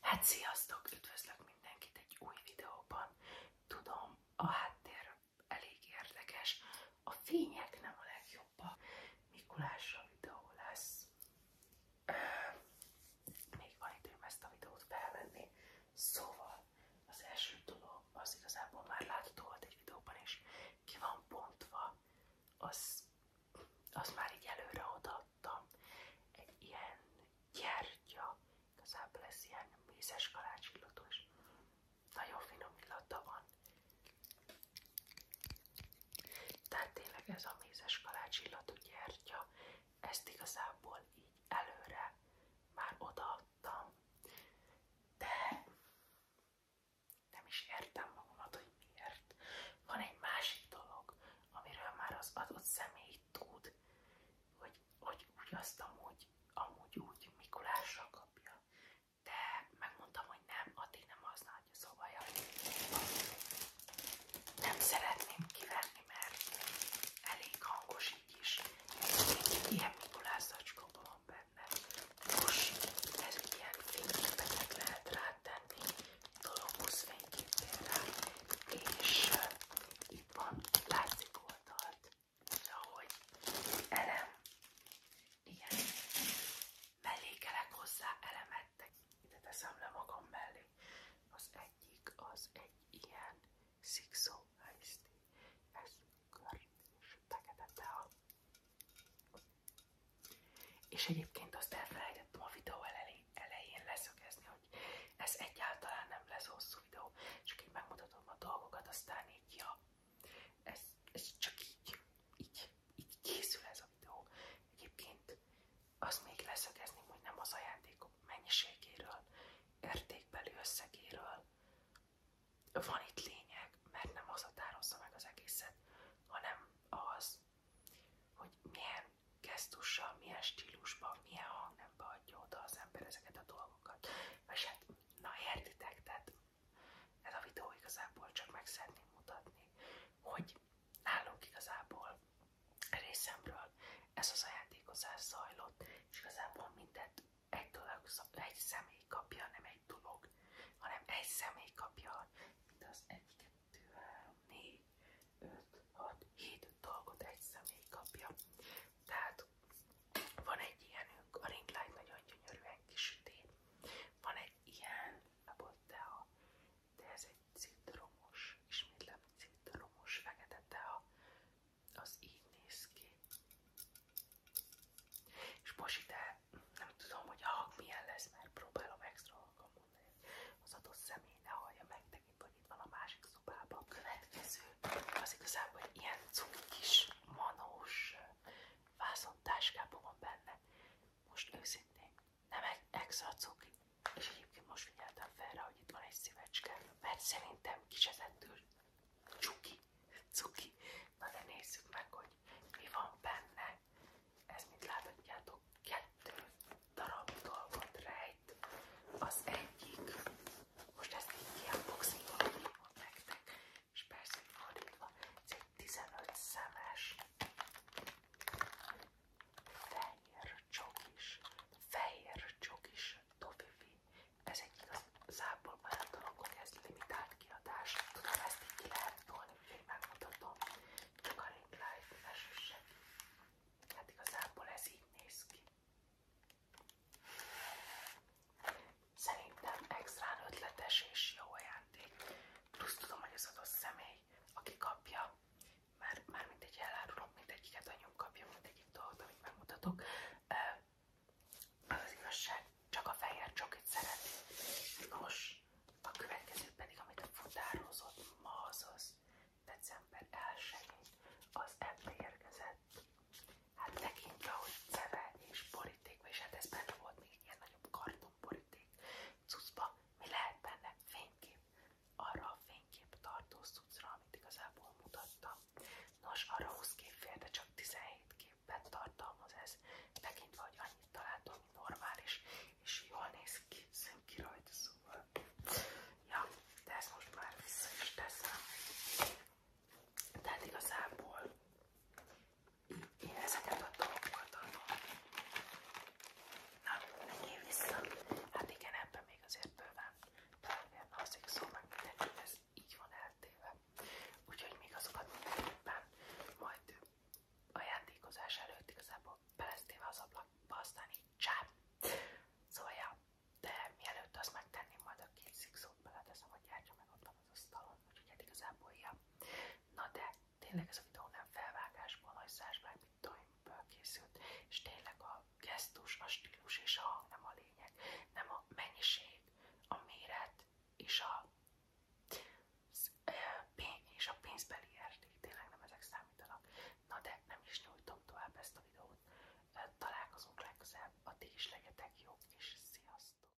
Hát sziasztok! Üdvözlök mindenkit egy új videóban. Tudom, a háttér elég érdekes. A fények nem a legjobbak. Mikulásra videó lesz. Még van időm ezt a videót felvenni. Szóval az első dolog az igazából már látható volt egy videóban is. Ki van bontva, az azt már így előre odaadtam. Egy ilyen gyertya, igazából ez ilyen mézes kalácsillatú, és nagyon finom illata van. Tehát tényleg ez a mézes kalácsillatú gyertya, ezt igazából így előre már odaadtam, de nem is értem magamat, hogy miért. Van egy másik dolog, amiről már az adott személy tud, hogy, hogy úgy azt amúgy, amúgy úgy Mikulással kapja. De megmondtam, hogy nem, addig nem használja, szóval jaj, nem szeretném kivenni, mert elég hangos így is. Ilyen Mikulás zacskóban van lenne. Most ez ilyen fényképeket lehet rátenni, dologhoz fényképél rá, és uh, itt van, látszik oldalt, ahogy elem, igen, mellékelek hozzá elemettek. Ide teszem le magam mellé. Az egyik, az egy ilyen szikszó helyszín. Ez kört és teketete a és egyébként azt elfelejtettem a videó elején elején leszögezni, hogy ez egyáltalán nem lesz hosszú videó, csak így megmutatom a dolgokat, aztán így, ja, ez, ez csak így, így, így készül ez a videó. Egyébként azt még leszögezném, hogy nem az ajándékok mennyiségéről, értékbeli összegéről, van itt lényeg, mert nem az határozza meg az egészet, hanem az, hogy milyen gesztussal, milyen stílusban, milyen hangnemben adja oda az ember ezeket a dolgokat. És hát, na értitek, tehát ez a videó igazából csak meg szeretném mutatni, hogy nálunk igazából részemről ez az ajátékozás zajlott, és igazából mindent egy, dolog, egy személy kapja, nem egy dolog, hanem egy személy kapja, mint az 1, 2, 3, 4, 5, 6, 7 dolgot egy személy kapja. Tehát van egy ilyenünk, a ring light nagyon gyönyörűen kisüti. Van egy ilyen, a de ez egy citromos, ismétlem citromos fekete tea, az így néz ki. És most nem tudom, hogy a lesz, mert próbálom extra hangon az adott személy ne hallja meg, másik szobában. következő az igazából egy ilyen cuki kis manós vászontáskában van benne. Most őszintén nem extra cuki, és egyébként most figyeltem fel rá, hogy itt mert szerintem kisezettül csuki, cuki. Na de nézzük meg, hogy mi van benne. Ez, mint láthatjátok, kettő darab dolgot rejt. Az egyik, most ezt így kiunboxingolom, hívom nektek, és persze fordítva, ez egy 15 szemes fehér csokis, fehér csokis tofifi. Ez egy igazából olyan dolog, hogy ez limitált kiadás. Tudom, ezt így ki lehet tolni, úgyhogy megmutatom. Csak a Ring Life esősek. Hát igazából ez így néz ki. Szerintem extrán ötletes és jó ajándék. Plusz tudom, hogy az adott személy, aki kapja, mert már mindegy elárulom, mindegyiket anyunk kapja, mindegyik dolgot, amit megmutatok. Az az igazság, csak a fehér csokit szereti. Nos, a következő pedig, amit a futározott ma azaz december 1 az ebbe érkezett. Hát tekintve, hogy ceve és boríték, és hát ez benne volt még ilyen nagyobb kartonboríték. Cuszba, mi lehet benne? Fénykép fénykép, arra a fénykép tartó szucra, amit igazából mutattam. Nos, arra 20 kép fél, de csak 17 képben tartalmaz ez, tekintve, hogy annyit találtam, ami normális, és jól néz ki, szűn ki rajta, szóval. Ja, de ezt most már vissza is teszem. Tehát igazából én ezeket a dolgokat adom. Na, menjél vissza. Hát igen, ebben még azért bőven bőven alszik szó, szóval meg mindenki, ez így van eltéve. Úgyhogy még azokat mindenképpen majd ajándékozás előtt igazából belesztéve az ablakba, aztán így csáp. Szóval ja, de mielőtt azt megtenném, majd a két szikszót beleteszem, hogy járja meg ott van az asztalon, úgyhogy hát igazából ja. Na de tényleg ez a videó nem felvágásból, nagy százsvág mintáimből készült, és tényleg a gesztus, a stílus és a hang nem a lényeg, nem a mennyiség, a méret és a, és a pénzbeli érték, tényleg nem ezek számítanak. Na de nem is nyújtom tovább ezt a videót, találkozunk legközelebb, addig is legyetek jók, és sziasztok!